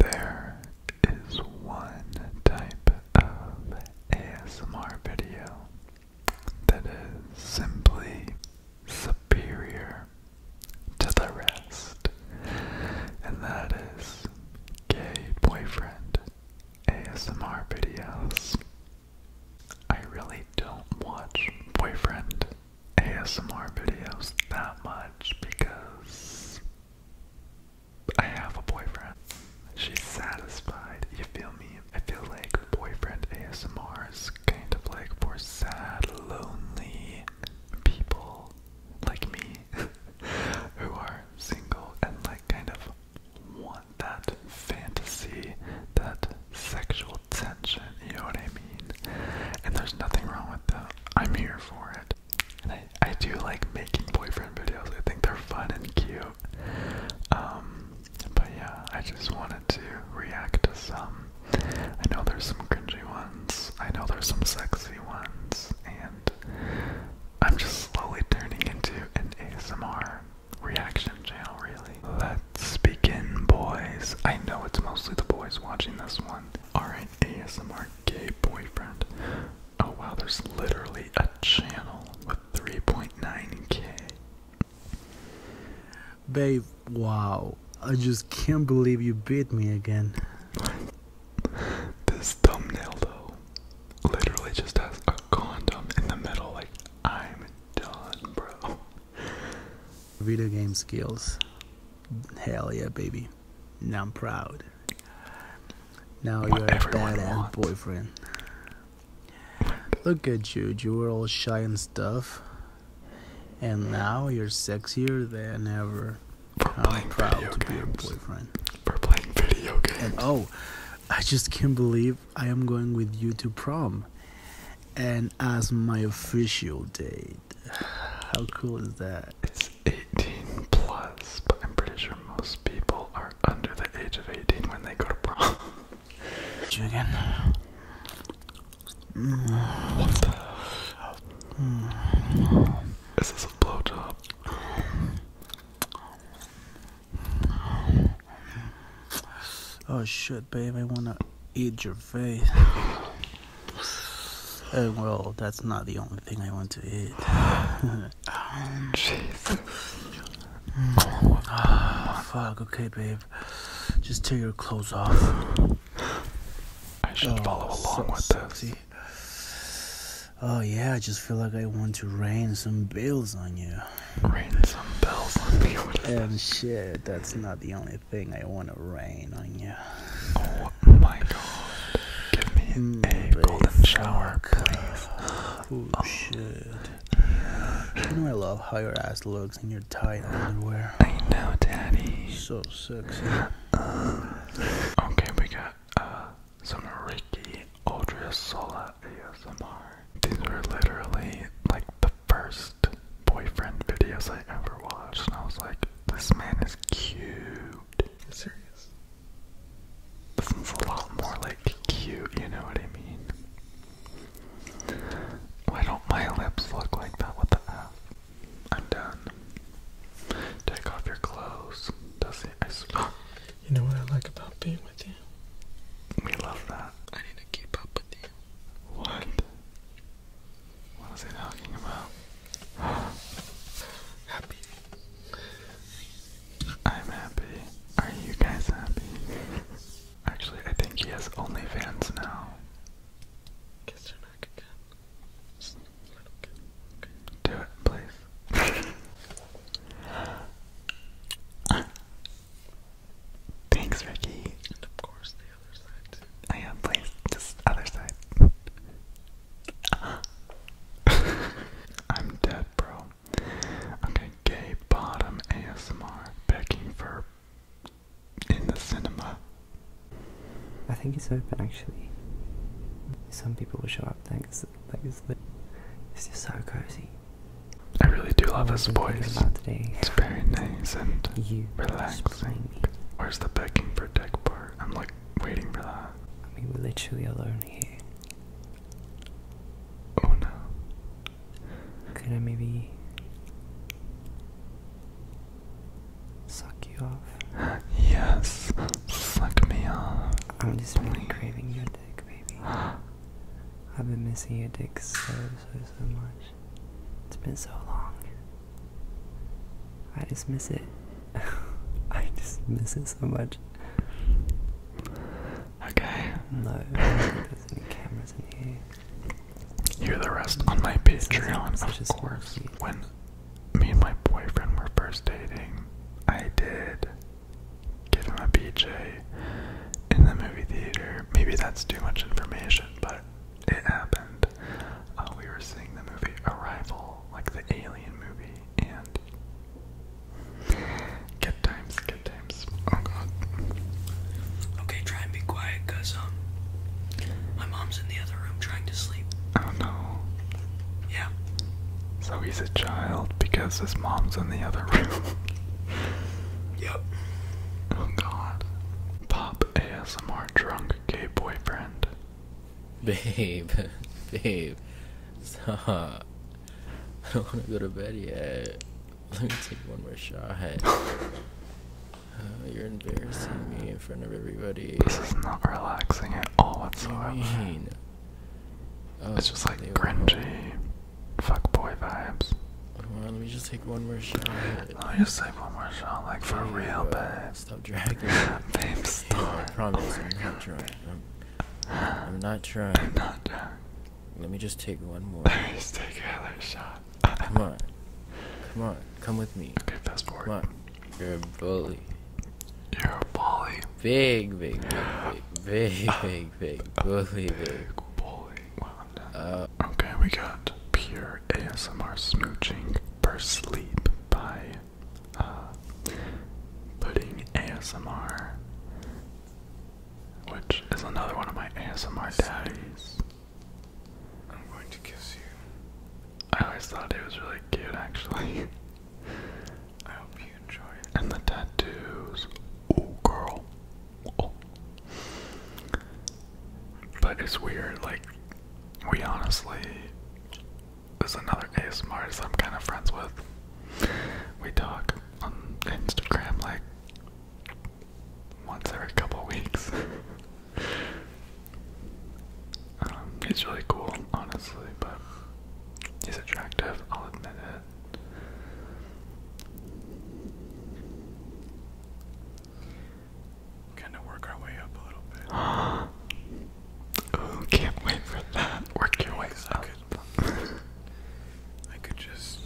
There is one type of ASMR video that is simply superior to the rest, and that is gay boyfriend ASMR videos. I really don't watch boyfriend ASMR videos that much because I have a boyfriend. She's satisfied. You feel me? I feel like boyfriend ASMR is kind of like for sad, lonely people like me who are single and like kind of want that fantasy, that sexual tension, you know what I mean? And there's nothing wrong with that. I'm here for it. I, do like making boyfriend videos. I think they're fun and cute. Um, but yeah, I just wanted to react to some. I know there's some cringy ones. I know there's some sexy ones. And I'm just slowly turning into an ASMR reaction channel, really. Let's begin, boys. I know it's mostly the boys watching this one. Alright, ASMR gay boyfriend. Oh wow, there's literally a channel with 3.9k. Babe, wow. I just can't believe you beat me again. this thumbnail though literally just has a condom in the middle, like I'm done, bro. Video game skills. Hell yeah, baby. Now I'm proud. Now you're a bad boyfriend. Look at you, you were all shy and stuff. And mm. now you're sexier than ever. I'm proud to be your boyfriend. For playing oh, I just can't believe I am going with you to prom. And as my official date. How cool is that? 18 plus, but I'm pretty sure most people are under the age of 18 when they go to prom. you again? What the? Is this a blowjob? Oh shit, babe, I wanna eat your buffet. well, that's not the only thing I want to eat. oh, fuck, okay, babe. Just tear your clothes off. Oh, oh, yeah, I just feel like I want to rain some bills on you. Rain some bills on me? and shit, that's not the only thing I want to rain on you. Oh my god. Give me mm, a golden shower, please. Oh, shit. You know I love how your ass looks in your tight underwear. I know, daddy. So sexy. Uh, okay, we got uh, some Ricky Audrey ASMR. These were literally like the first boyfriend videos I ever watched, and I was like, this man is cute. Serious. This is a lot more like cute, you know what I mean? Why don't my lips look like that with the F? I'm done. Take off your clothes. Does he? You know what I like about being with you? We love that. I need to keep up with you. What? What was I talking about? happy. I'm happy. Are you guys happy? Actually, I think he has OnlyFans now. Kiss her neck again. Okay. Do it, please. Thanks, Ricky. And of course, I oh, am, please. Just other side. I'm dead, bro. Okay, gay bottom ASMR begging for in the cinema. I think it's open actually. Some people will show up thanks. Like it's just so cozy. I really do love oh, his It's very nice and you relaxing. Where's the begging for dick part? I'm like waiting for that. I mean, we're literally alone here. Oh no. Could I maybe suck you off? Yes, suck me off. I'm just really craving your dick, baby. I've been missing your dick so, so, so much. It's been so long. I just miss it. I just miss it so much. Okay. No, there's any cameras in here. Hear the rest on my Patreon, like of course. When me and my boyfriend were first dating, I did give him a BJ in the movie theater. Maybe that's too much information, but it happened. Uh, we were seeing the movie Arrival, like the Alien movie, and Good times, good times. Oh god. Okay, try and be quiet, cause um, my mom's in the other room trying to sleep. Oh no. Yeah. So he's a child because his mom's in the other room. yep. Oh god. Pop, ASMR drunk gay boyfriend. Babe, babe, stop. I don't want to go to bed yet. Let me take one more shot. Uh, you're embarrassing me in front of everybody. This is not relaxing at all whatsoever. it's just oh, like cringy, boy vibes. Come on, let me just take one more shot. Let me just take one more shot, like for yeah, real, babe. Stop dragging. babe, stop. Yeah, I promise, oh I'm, not I'm, I'm not trying. I'm, not trying. I'm not trying. Let me just take one more. Let me just take another shot. Come on. Come on. Come with me. Okay, fast forward. Come on. You're a bully. You're a bully. Big, big, big, big, big, big, big bully, big. Big bully. Well, I'm done. Uh, okay, we got pure. ASMR smooching for sleep by uh, putting ASMR, which is another one of my ASMR daddies. I'm going to kiss you. I always thought it was really cute, actually. I hope you enjoy it. And the tattoos. Oh, girl. But it's weird, like, we honestly. There's another ASMR artist I'm kind of friends with. We talk on Instagram like once every couple weeks. um, he's really cool, honestly, but he's attractive, I'll admit it kind of work our way up a little bit. oh, can't wait for that. Work your way up. I could, I could just.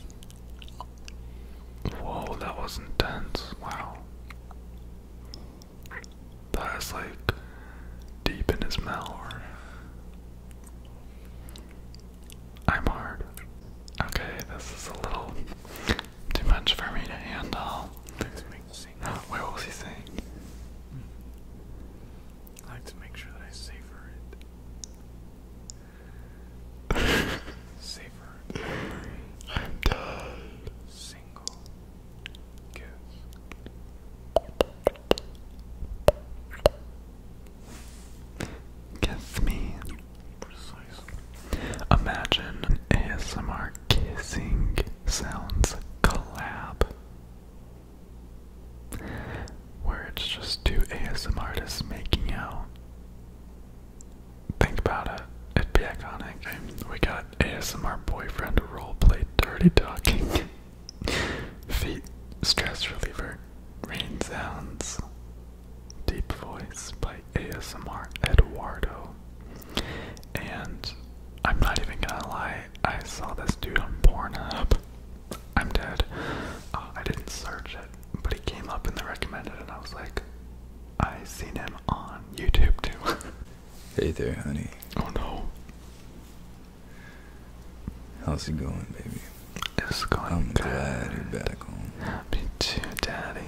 Whoa, that was intense. Wow. That is like deep in his mouth. I'm hard. Okay, this is a little too much for me to handle. Where was he saying? I like to make sure that I savor it. savor every I'm done. single kiss. Kiss me. Imagine an ASMR kissing sounds collab. Where it's just two ASMR artists making out. Think about it. It'd be iconic. we got ASMR boyfriend roleplay dirty talking. Feet stress reliever. Rain sounds. Deep Voice by ASMR Eduardo. And I'm not even gonna lie, I saw this dude on Pornhub. I'm dead. Uh, I didn't search it, but he came up in the recommended, and I was like, I seen him on YouTube too. hey there, honey. Oh no. How's it going, baby? It's going. I'm glad you're back back too, Daddy.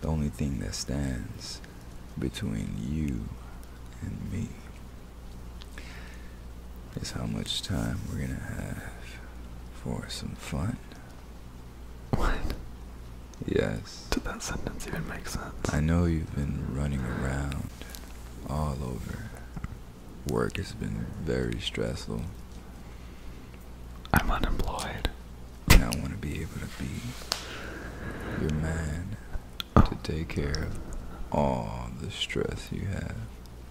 The only thing that stands between you and me is how much time we're gonna have for some fun. What? Yes. Did that sentence even make sense? I know you've been running around all over. Work has been very stressful. I'm unemployed. And I want to be able to be your man oh. to take care of all the stress you have.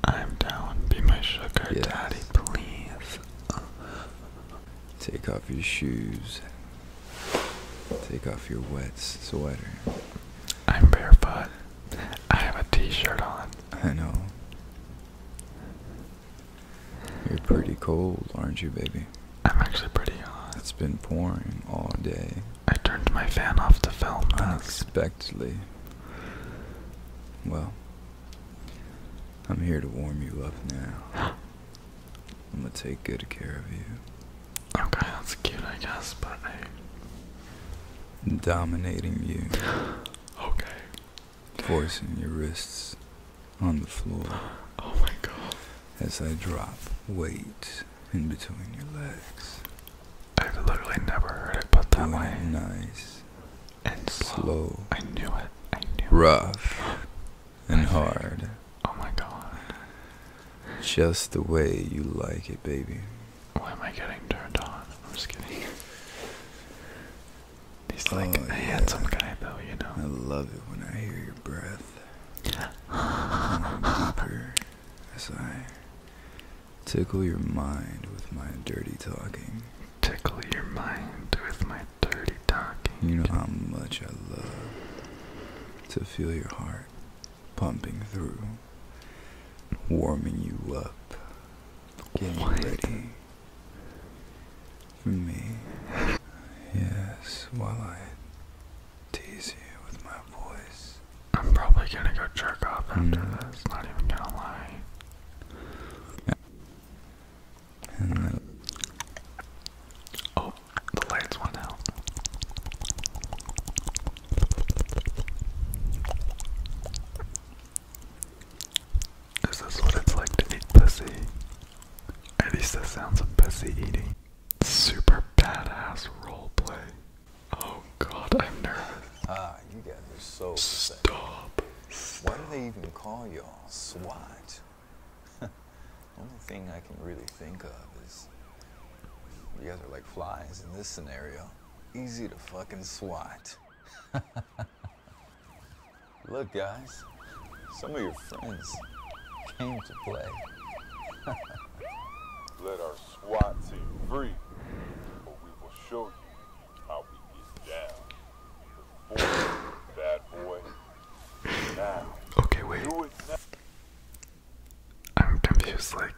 I'm down. Be my sugar yes. daddy, please. Take off your shoes. Take off your wet sweater. I'm barefoot. I have a t-shirt on. I know. You're pretty cold, aren't you, baby? I'm actually pretty hot. It's been pouring all day. I turned my fan off to film Unexpectedly. Well, I'm here to warm you up now. I'm gonna take good care of you. Okay, that's cute, I guess, but Dominating you. okay forcing your wrists on the floor. Oh my god. As I drop weight in between your legs. I've literally never heard it but that way. Nice. And slow. I knew it. I knew it. Rough and hard. Oh my god. Just the way you like it, baby. Why am I getting turned on? I'm just kidding. He's like oh, a yeah. handsome guy, though, you know. I love it when I hear your breath. deeper as I tickle your mind with my dirty talking. Tickle your mind with my dirty talking. You know how much I love to feel your heart pumping through, warming you up, getting what? ready for Me. Yes, while I tease you with my voice. I'm probably gonna go jerk off after mm. this, not even gonna lie. oh, the lights went out. Is this what it's like to eat pussy? At least the sounds of pussy eating. Super badass roleplay. Oh god, I'm nervous. Ah, you guys are so sick. Stop. Why do they even call y'all SWAT? The Only thing I can really think of is you guys are like flies in this scenario. Easy to fucking SWAT. Look, guys, some of your friends came to play. Let our SWAT team free, but we will show you how we get down. Before, bad boy. okay, wait. I'm confused, like,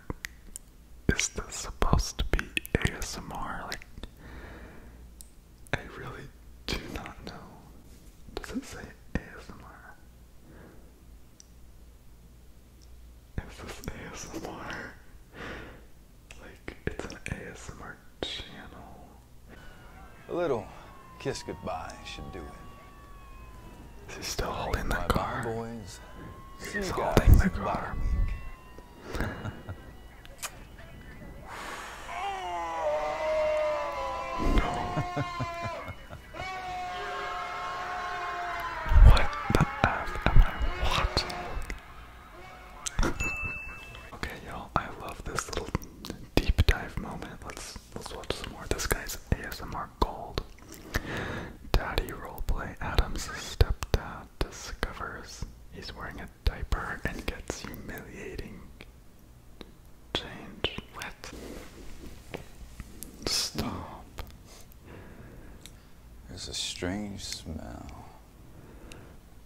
is this supposed to be ASMR? Like, I really do not know. Does it say ASMR? Is this ASMR? Like, it's an ASMR channel. A little kiss goodbye should do it. Is he still holding that car? Boys. He's holding the car what the F am I watching? okay, y'all, I love this little deep dive moment. Let's let's watch some more. This guy's ASMR gold. Daddy role play. Adam's stepdad discovers he's wearing a diaper and gets humiliating change. What? Stop. There's a strange smell.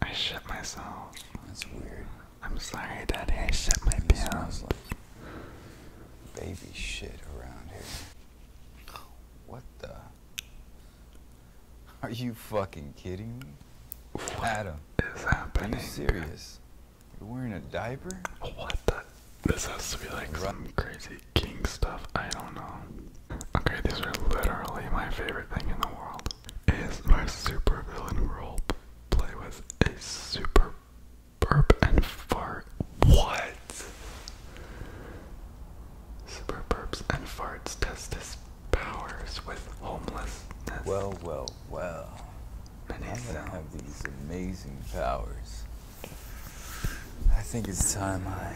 I shit myself. That's weird. I'm sorry, Daddy. I shit my it pants. baby shit around here. Oh, what the? Are you fucking kidding me? What Adam, is happening? Are you serious? You're wearing a diaper? What the? This has to be like some crazy king stuff. I don't know. Okay, these are literally my favorite thing in the world. Is my super villain role play with a super burp and fart? What? Super burps and farts test his powers with homelessness. Well, well, well. Many I have these amazing powers. I think it's time I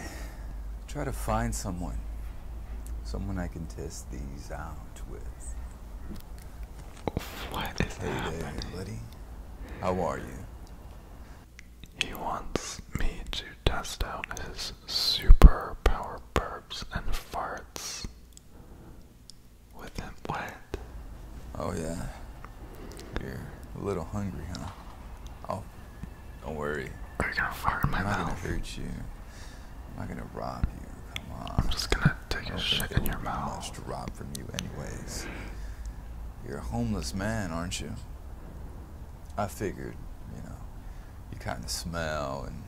try to find someone. Someone I can test these out with. What is Hey there, buddy. How are you? He wants me to test out his superpower burps and farts with him. What? Oh, yeah. You're a little hungry, huh? Oh, don't worry. I'm not gonna hurt you. I'm not gonna rob you. Come on. I'm just gonna take a shit in your mouth. I'm going to rob from you, anyways. You're a homeless man, aren't you? I figured, you know, you kind of smell and,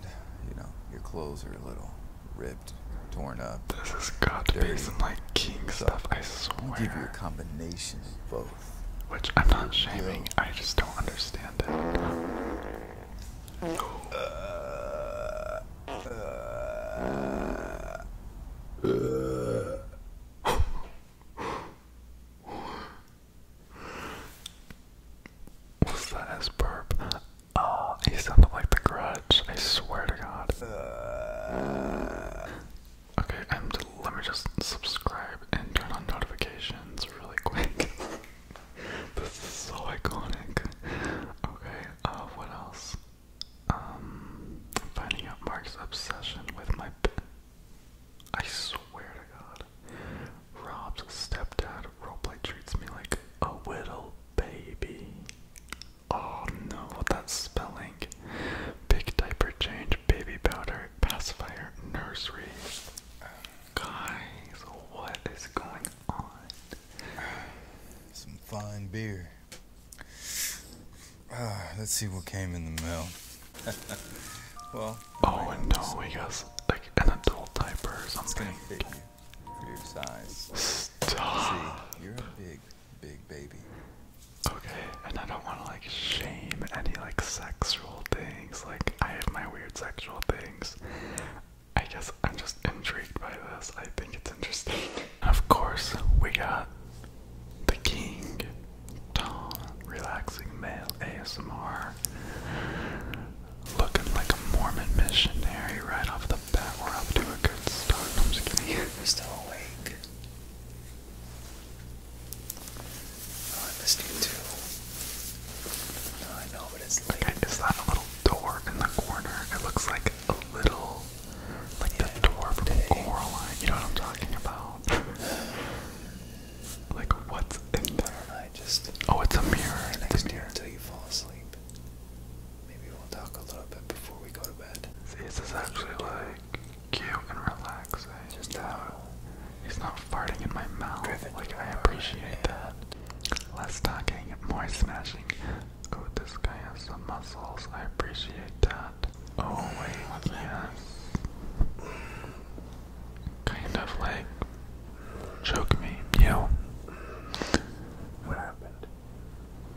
you know, your clothes are a little ripped, torn up. This has got to dirty. be some, like, king so stuff, I swear. give you a combination of both. Which I'm not shaming, I just don't understand it. Uh, uh, uh. What's that? His burp. Oh, he sounded like the grudge. I swear to God. okay, i let me just subscribe and turn on notifications really quick. this is so iconic. Okay, uh, what else? Um, finding out Mark's obsession with my. I swear to God, Rob's stepdad roleplay treats me like a little baby. Oh no, that spelling. Big diaper change, baby powder, pacifier, nursery. Guys, what is going on? Some fine beer. Uh, let's see what came in the mail. well, Oh no, we got like an adult diaper or something. for your size. Stop. you're a big, big baby. Okay, and I don't want to like shame any like sexual things. Like I have my weird sexual things. I guess I'm just intrigued by this. I think it's interesting. of course, we got the king, Tom, relaxing male ASMR, looking like a Mormon missionary right off the bat. We're up to a good start. I'm just kidding. You're still awake. Oh, I missed you too. No, oh, I know, but it's late. Okay, is that a little door in the corner? It looks like a little, like the door from Coraline. You know what I'm talking about? Like what's oh, it's a mirror. next a mirror. until you fall asleep. Maybe we'll talk a little bit before we go to bed. See, this is actually like cute and relaxing. Just how he's not farting in my mouth. like I appreciate that. Less talking, more smashing. Oh, this guy has some muscles. I appreciate that. Oh wait, What's yeah. That? Kind of like choke me, yo. What happened?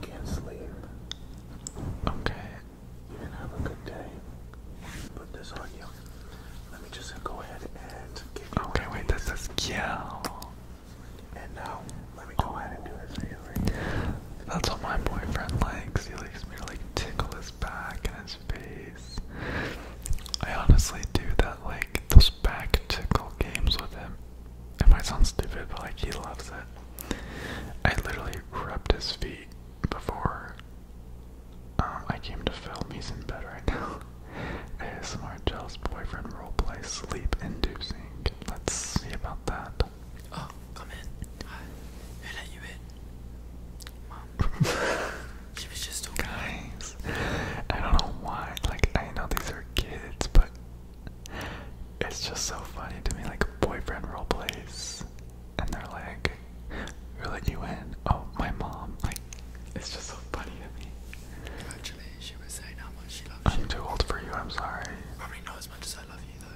Can't sleep. Okay. You did have a good day. Put this on you. Let me just go ahead and give you Okay, wait, this is kill. And now, let me go ahead and do this That's what my boyfriend likes. He likes me to like tickle his back and his face. I honestly do that, like, those back tickle games with him. It might sound stupid, but like, he loves it. I literally crept his feet before um, I came to film. He's in bed right now. ASMR Jealous Boyfriend Roleplay Sleep Inducing. Let's see about that. Oh, come in. Hi. Who let you in? Mom. she was just talking. Guys, I don't know why. Like, I know these are kids, but it's just so funny to me. Like, boyfriend role plays, and they're like, who let you in? Oh, my mom. Like, it's just so funny to me. Actually, she was saying how much she loves you. I'm too old for you, I'm sorry. Probably not as much as I love you, though.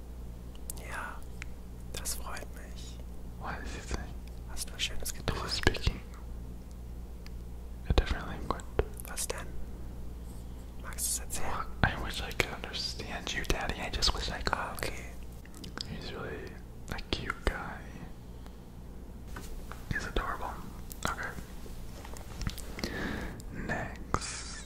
Ja, das freut mich. Weiß ich jetzt nicht. Hast du was Schönes getan? Is different language? Was denn? Magst du es I wish I could understand you, Daddy. I just wish I could. Ah, okay. He's really a cute guy. He's adorable. Okay. Next.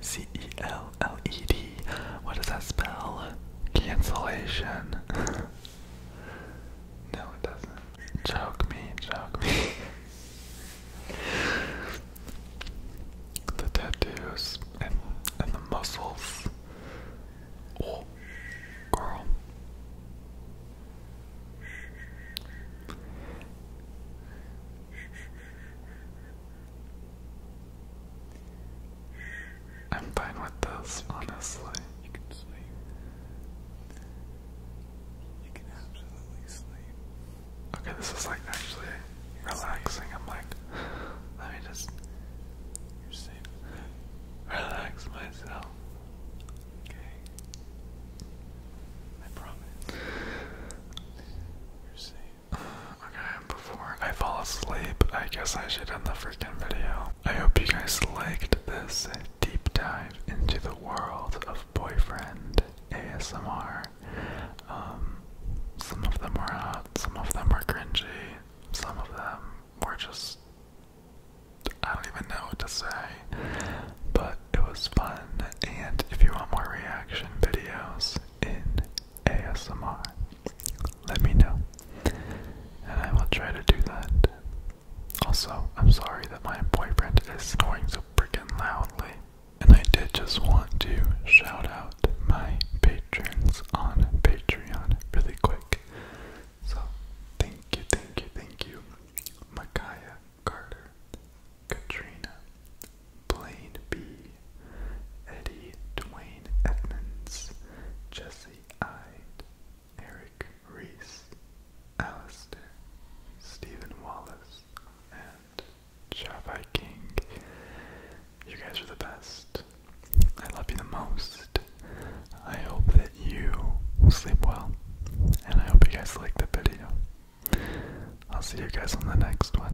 C E L L E D. What does that spell? Cancellation. no, it doesn't. Choke me, choke me. the tattoos and and the muscles. Oh, girl. I'm fine with this, honestly. You can sleep. You can absolutely sleep. Okay, this is like actually relaxing. I'm like, let me just. you Relax myself. Okay. I promise. You're safe. Okay, before I fall asleep, I guess I should end the freaking video. I hope you guys liked this deep dive into the world of boyfriend ASMR. Um, some of them were hot, some of them were cringy, some of them were just. I don't even know what to say. But it was fun, and if you want more reaction videos in ASMR, let me know. And I will try to do that. Also, I'm sorry that my boyfriend is snoring so freaking loudly. And I did just want to shout out my patrons on Patreon really quick. So, thank you, thank you, thank you. Micaiah, Carter, Katrina, Blaine B, Eddie Dwayne Edmonds, Jesse Ide, Eric Reese, Alistair, Stephen Wallace, and Javai King. You guys are the best. I love you the most. I hope that you sleep well, and I hope you guys like the video. I'll see you guys on the next one.